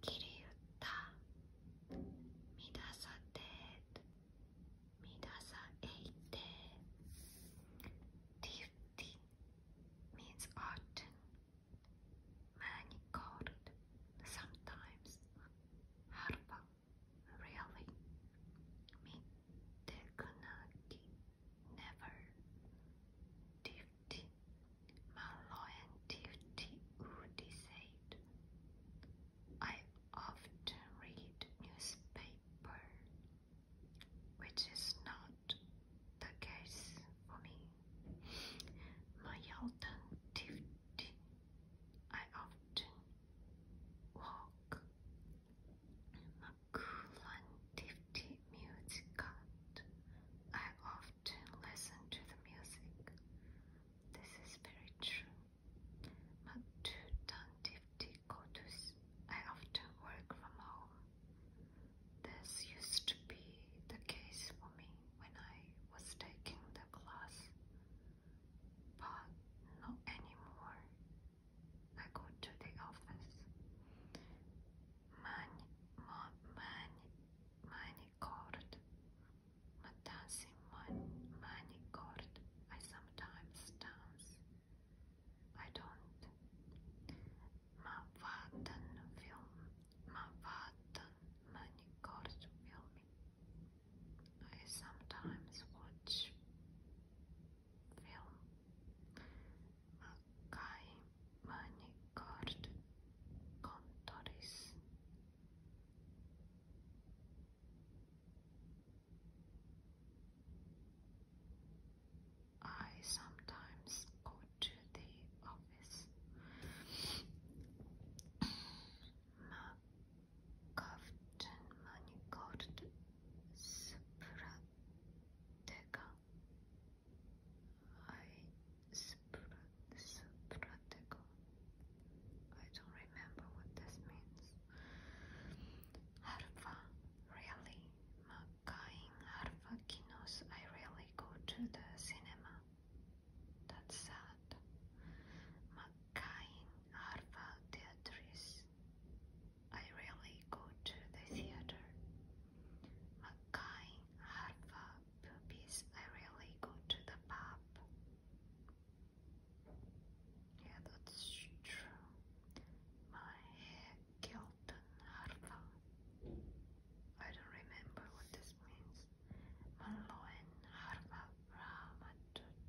길이웃다 미다사 떼 미다사 에이떼 Duty means often manicured sometimes harba really Mitekunaki never Duty my loyalty would decide. I often read newspaper, which is not the case for me. My alternative, I often walk. Cumulative music cut. I often listen to the music. This is very true. I often work from home. This used to be the case for me when I was taking the class, but not anymore. I go to the office. Mani, ma, mani, manicord. Ma dancing man, manicord. I sometimes dance. I don't. Ma vatten film. Ma vatten manicord film. I sometimes watch film Makai manicured contours I sometimes go to the office. Ma Cofton manicured Spratega. I spra Spratega. I don't remember what this means. Harva, really? Makain Harva Kinos. I really go to the cinema. That's sad. Makain Harva Theatris. I really go to the theater. Makain harva puppies. I rarely go to the pub. Yeah, that's true. My hair Kelton harva. I don't remember what this means. Manloen harva ramatut.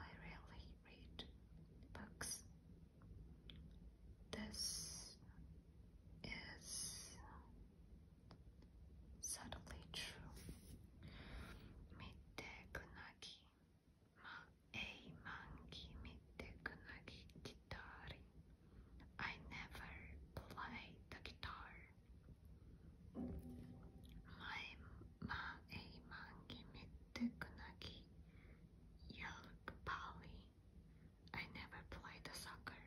I rarely read books. This is subtly true. Mitte kunagi ma ei mangi mitte kunagi guitari. I never play the guitar. 만에만 기미뜨끈하기 열파리 I never played the soccer.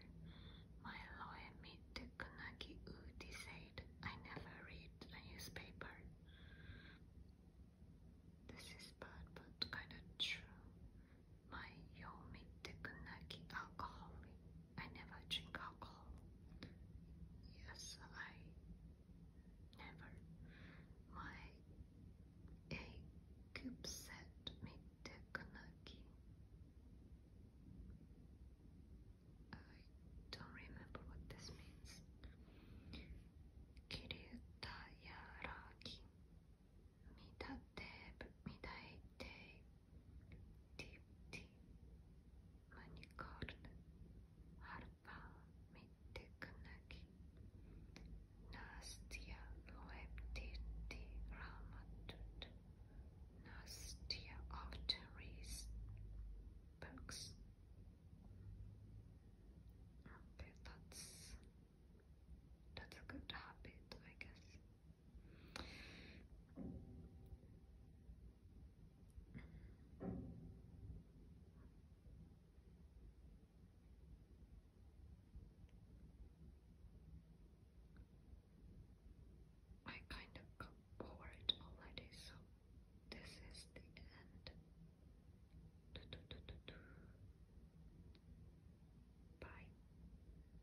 My loemi 뜨끈하기 우디 said I never read the newspaper. This is bad but kinda true. My yomi 뜨끈하기 alcoholic. I never drink alcohol. Yes, I never. My a cube set me takanaki. I don't remember what this means. Kiryuta yaraki. Midate, midate, dipti manicord harpa mittekanaki nastia loeptirti ramatut nastia often reads books okay that's that's a good habit I guess I kind of got already, so this is the end. Bye.